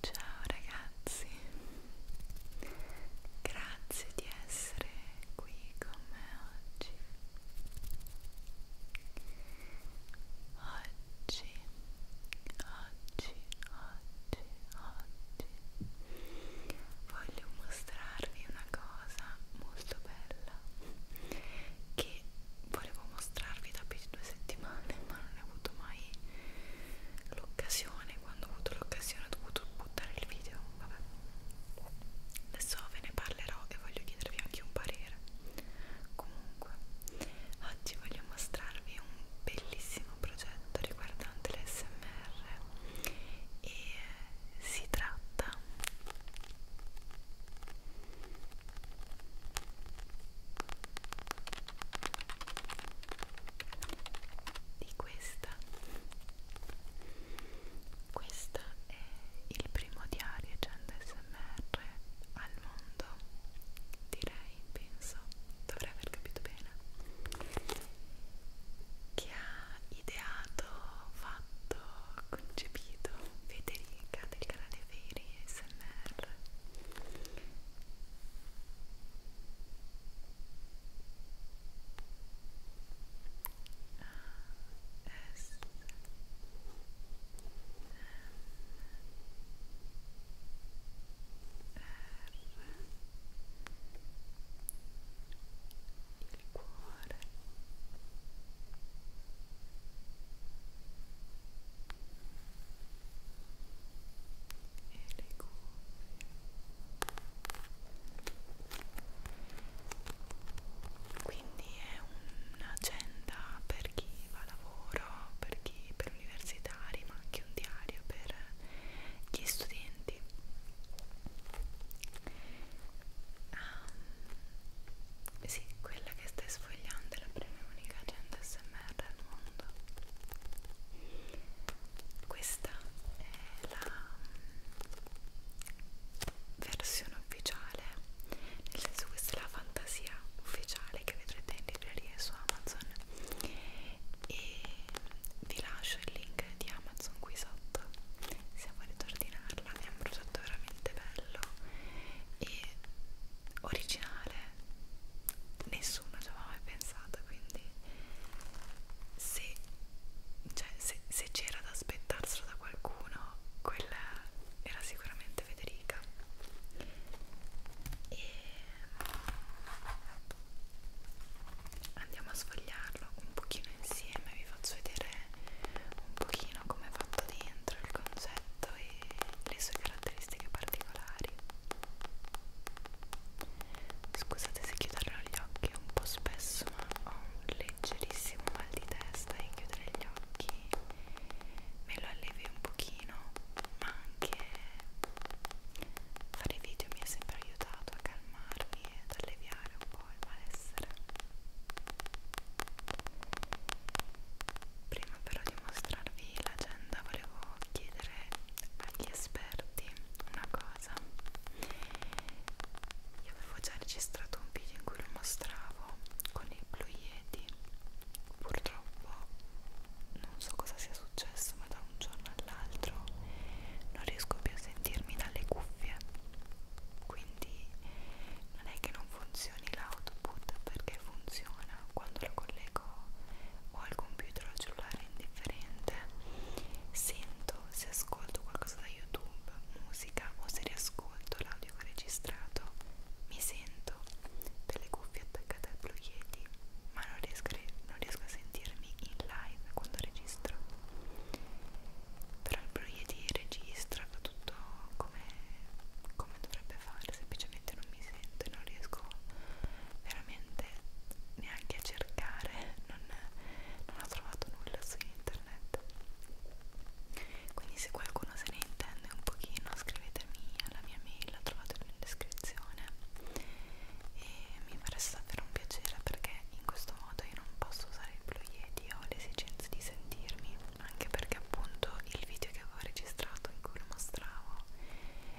Ciao ragazzi, grazie di essere qui con me oggi. Oggi, oggi, oggi, oggi voglio mostrarvi una cosa molto bella che volevo mostrarvi da più di due settimane ma non ne ho avuto mai l'occasione quando ho avuto l'occasione ho dovuto buttare il video vabbè adesso ve ne parlerò e voglio chiedervi anche un parere comunque oggi voglio mostrarvi un bellissimo progetto riguardante l'SMR e si tratta di questa questo è il primo diario agenda smr al mondo direi penso dovrei aver capito bene che ha ideato fatto, concepito Federica del canale Fairy ASMR S R il cuore e le cuffie quindi è un'agenda per chi va a lavoro per chi per universitari ma anche un diario per gli studenti Um, sì, quella che stai sfogliando è la prima e unica agenda SMR al mondo. Questa è la mm, versione ufficiale, nel senso questa è la fantasia ufficiale che vedrete in libreria su Amazon e vi lascio il link di Amazon qui sotto se volete ordinarla parlarne è un prodotto veramente bello e originale nessuno ci aveva mai pensato quindi se cioè, se, se c'era da aspettarselo da qualcuno quella era sicuramente Federica e andiamo a sfogliarlo un pochino insieme vi faccio vedere un pochino come è fatto dentro il concetto e le sue caratteristiche particolari scusate se chiuderò gli occhi un po' spesso ma ho un leggerissimo mal di testa e chiudere gli occhi me lo allevi un pochino ma anche fare video mi ha sempre aiutato a calmarmi ed alleviare un po' il male essere prima però di mostrarvi l'agenda volevo chiedere agli esperti una cosa io avevo già registrato un video in cui lo mostravo con il Blue Yeti purtroppo non so cosa sia successo ma da un giorno all'altro non riesco più a sentirmi dalle cuffie quindi non è che non funzioni l'output perché funziona quando lo collego o al computer o al cellulare indifferente sento se ascolto qualcosa da youtube musica o se riascolto l'audio che ho registrato mi sento delle cuffie attaccate al Blue Yeti ma non riesco, non riesco a sentirmi in live quando registro però il Blue Yeti registra tutto come, come dovrebbe fare, semplicemente non mi sento e non riesco veramente neanche a cercare, non, non ho trovato nulla su internet. Quindi se qualcuno se ne intende un pochino scrivetemi alla mia mail, la trovate in descrizione e mi fareste davvero un piacere perché in questo modo io non posso usare il Blue Yeti, ho l'esigenza di sentirmi anche perché appunto il video che avevo registrato in cui lo mostravo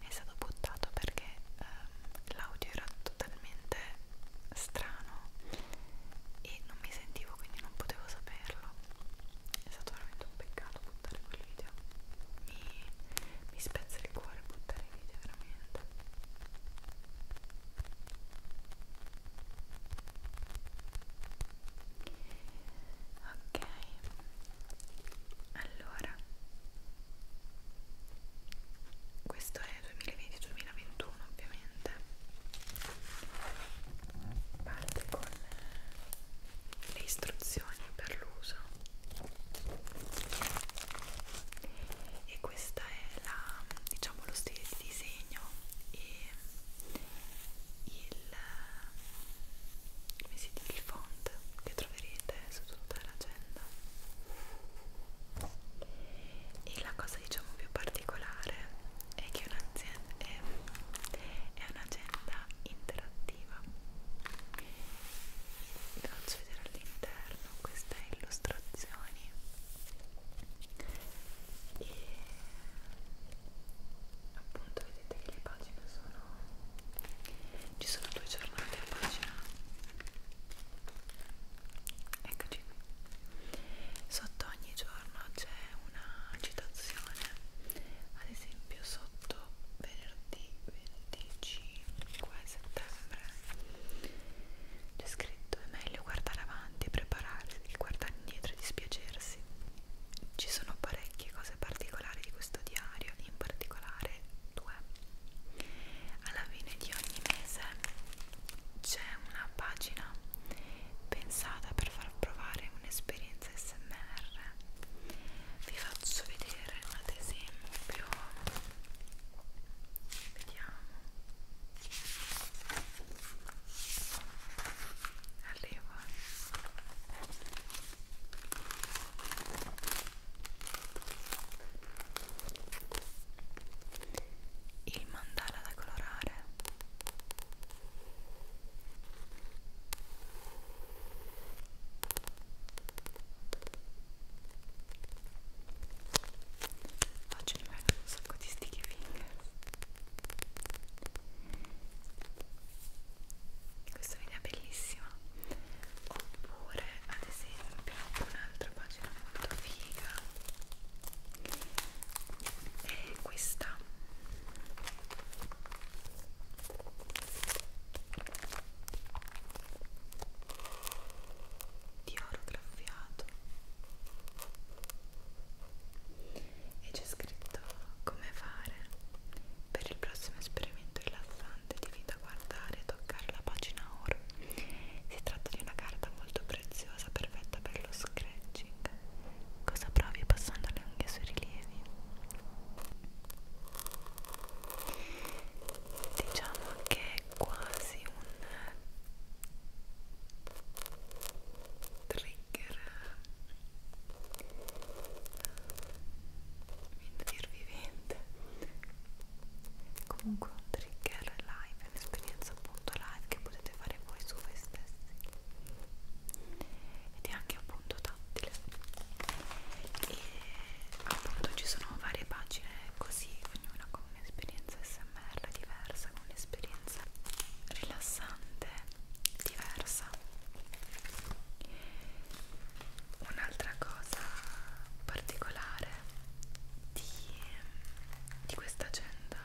è stato buttato perché ehm, l'audio era totalmente strano e non mi sentivo quindi non potevo saperlo è stato veramente un peccato buttare quel video mi, mi spezza il cuore buttare i video veramente ok allora questo è 2020-2021 ovviamente parte con le istruzioni per l'uso e questa è la diciamo lo stile di disegno e il, come si dice, il font che troverete su tutta l'agenda e la cosa diciamo più particolare è che è, è un'agenda interattiva vi faccio vedere all'interno queste illustrazioni e appunto vedete che le pagine sono ci sono due giornate a pagina eccoci qui sotto ogni giorno c'è una citazione ad esempio sotto venerdì 25 settembre c'è scritto è meglio guardare avanti e prepararsi che guardare indietro e dispiacersi ragazzi ci sono parecchie cose particolari di questo diario in particolare due alla fine di ogni mese c'è una pagina pensata per far provare un'esperienza smr vi faccio vedere ad esempio vediamo arrivo il mandala da colorare Oggi mi vengono un sacco di sticky fingers questa è un'idea bellissima oppure ad esempio un'altra pagina molto figa è questa di oro graffiato e c'è scritto come fare per il prossimo esperimento rilassante di vita guardare e toccare la pagina oro si tratta di una carta molto preziosa perfetta per lo scratching cosa provi passando le unghie sui rilievi diciamo che è quasi un trigger trigger vivente comunque un trigger live è un'esperienza appunto live che potete fare voi su voi stessi ed è anche appunto tattile e appunto ci sono varie pagine così ognuna con un'esperienza smr diversa un'esperienza rilassante, diversa. Un'altra cosa particolare di, di questa agenda,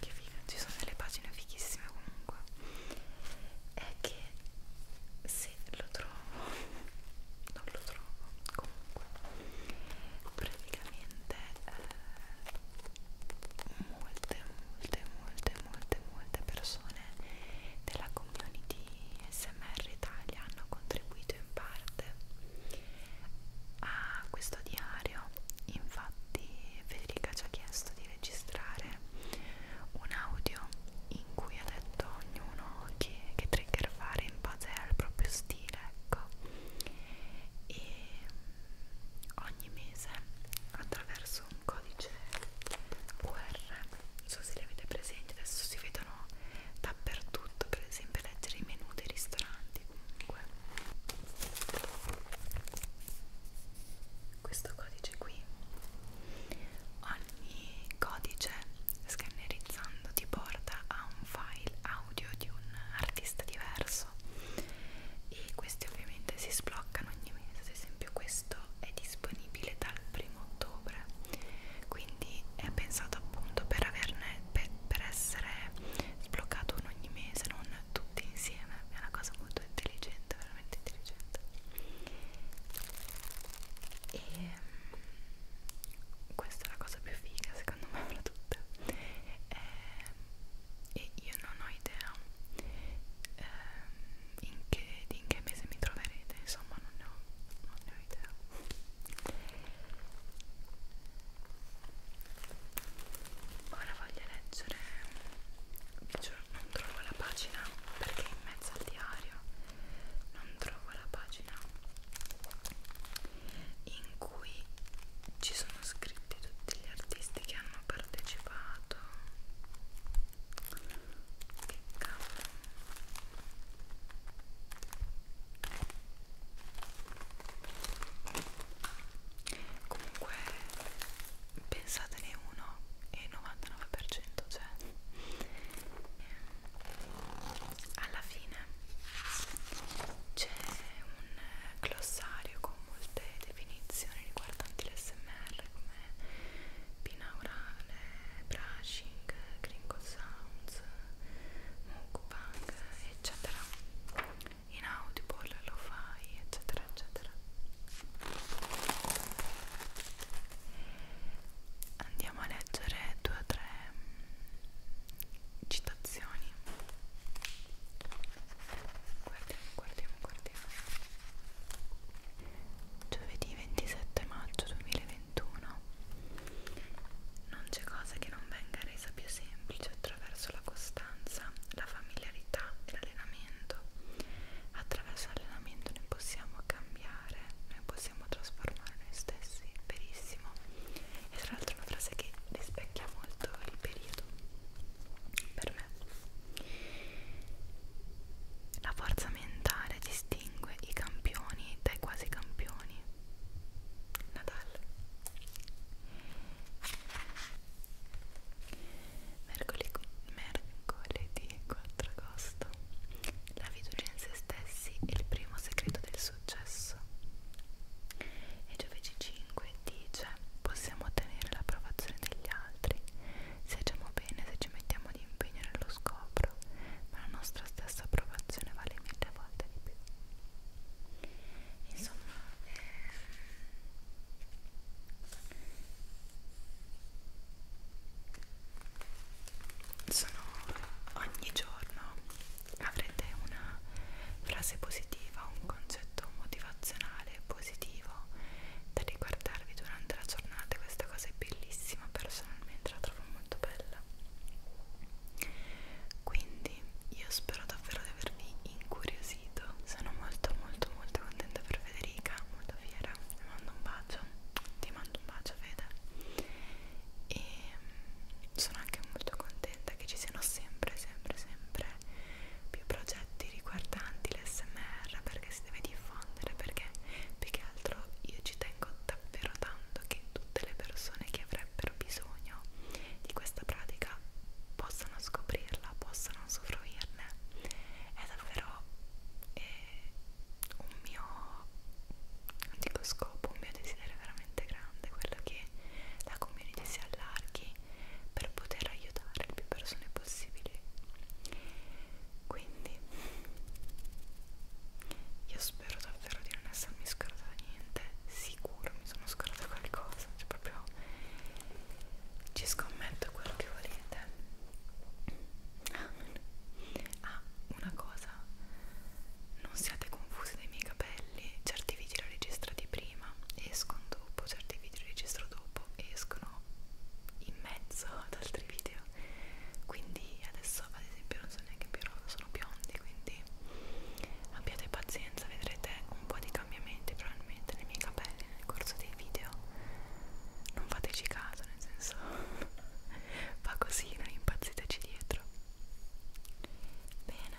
che figa, ci sono delle pagine fighissime comunque, è che se lo trovo, non lo trovo comunque, praticamente eh, molte, molte, molte, molte, molte persone della community SMR Italia hanno contribuito in parte a questo diario. Infatti, Federica ci ha chiesto di registrare un audio in cui ha detto ognuno che, che trigger fare in base al proprio stile, ecco. E ogni mese attraverso un codice QR non so se li avete presenti adesso si vedono dappertutto per esempio leggere i menu dei ristoranti comunque questo codice qui ogni codice scannerizzando ti porta a un file audio di un artista diverso rosso e questi ovviamente si sbloccano ogni mese ad esempio questo è disponibile dal primo ottobre quindi è pensato appunto per averne per, per essere sbloccato uno ogni mese non tutti insieme è una cosa molto intelligente veramente intelligente e mm, questa è la cosa più figa secondo me fra tutte è ehm, e io non ho idea ehm, in, che, in che mese mi troverete, insomma non ne ho, non ne ho idea ora voglio leggere non trovo la pagina perché in mezzo al diario non trovo la pagina in cui ci sono scritti tutti gli artisti che hanno partecipato che cavolo comunque pensatene uno e 99% c'è cioè, ehm, alla fine c'è un glossario con molte definizioni riguardanti l'SMR come binaurale, brushing, gringo sounds, mukbang, eccetera, inaudible, lo fai, eccetera, eccetera. Andiamo a leggere due o tre citazioni Guardiamo, guardiamo, guardiamo. Giovedì 27 maggio 2021. Non c'è cosa che non venga resa più semplice attraverso la costanza, la familiarità e l'allenamento. Attraverso l'allenamento noi possiamo cambiare, noi possiamo trasformare noi stessi, verissimo. E tra l'altro è una frase che rispecchia molto il periodo per insieme. La forza mentale distingue i campioni dai quasi campioni. Natale. Mercoledì, mercoledì 4 agosto. La fiducia in se stessi è il primo segreto del successo. E giovedì 5 dice cioè, possiamo ottenere l'approvazione degli altri se agiamo bene, se ci mettiamo di impegno nello scopro, ma la nostra stessa approvazione vale mille volte di più. Insomma, ehm, sono ogni giorno avrete una frase positiva, un concetto motivazionale naturale, positivo da riguardarvi durante la giornata questa cosa è bellissima personalmente la trovo molto bella quindi io spero davvero di avervi incuriosito sono molto molto molto contenta per Federica molto fiera ti mando un bacio ti mando un bacio Fede e mm, sono anche molto contenta che ci siano sempre sempre sempre più progetti riguardanti l'SMR perché si deve diffondere perché più che altro io ci tengo davvero tanto che tutte le persone che avrebbero bisogno di questa pratica possano scoprirla, possano usufruirne è davvero eh, un mio non dico scopo, un mio desiderio veramente grande quello che la community si allarghi per poter aiutare più persone possibili quindi io spero davvero di non essermi scordata niente sicuro mi sono scordata qualcosa cioè proprio ci scommetto quello che volete ah una cosa non siate confusi dai miei capelli certi video li ho registrati prima prima escono dopo certi video registro dopo escono in mezzo ad altri video quindi adesso ad esempio non sono neanche più rosa sono biondi quindi abbiate pazienza vedrete un po' di cambiamenti probabilmente nei miei capelli nel corso dei video non fateci caso nel senso fa così non impazziteci dietro bene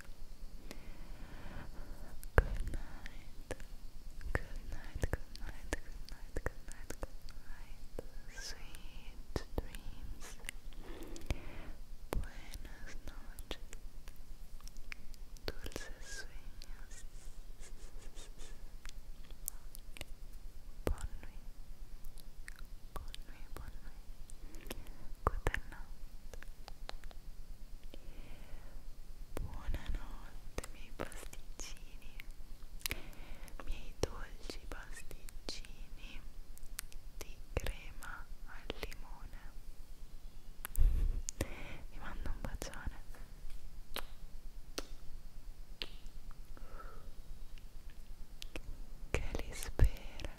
Good night. Good night. Good night. Good night. Good night. Good night. Sweet dreams. Buenas noches. Dulces sueños. Bon nuit. Bon Good night. Buonanotte miei pasticcini, miei dolci pasticcini di crema al limone. Vi mando un bacione. Che li spera.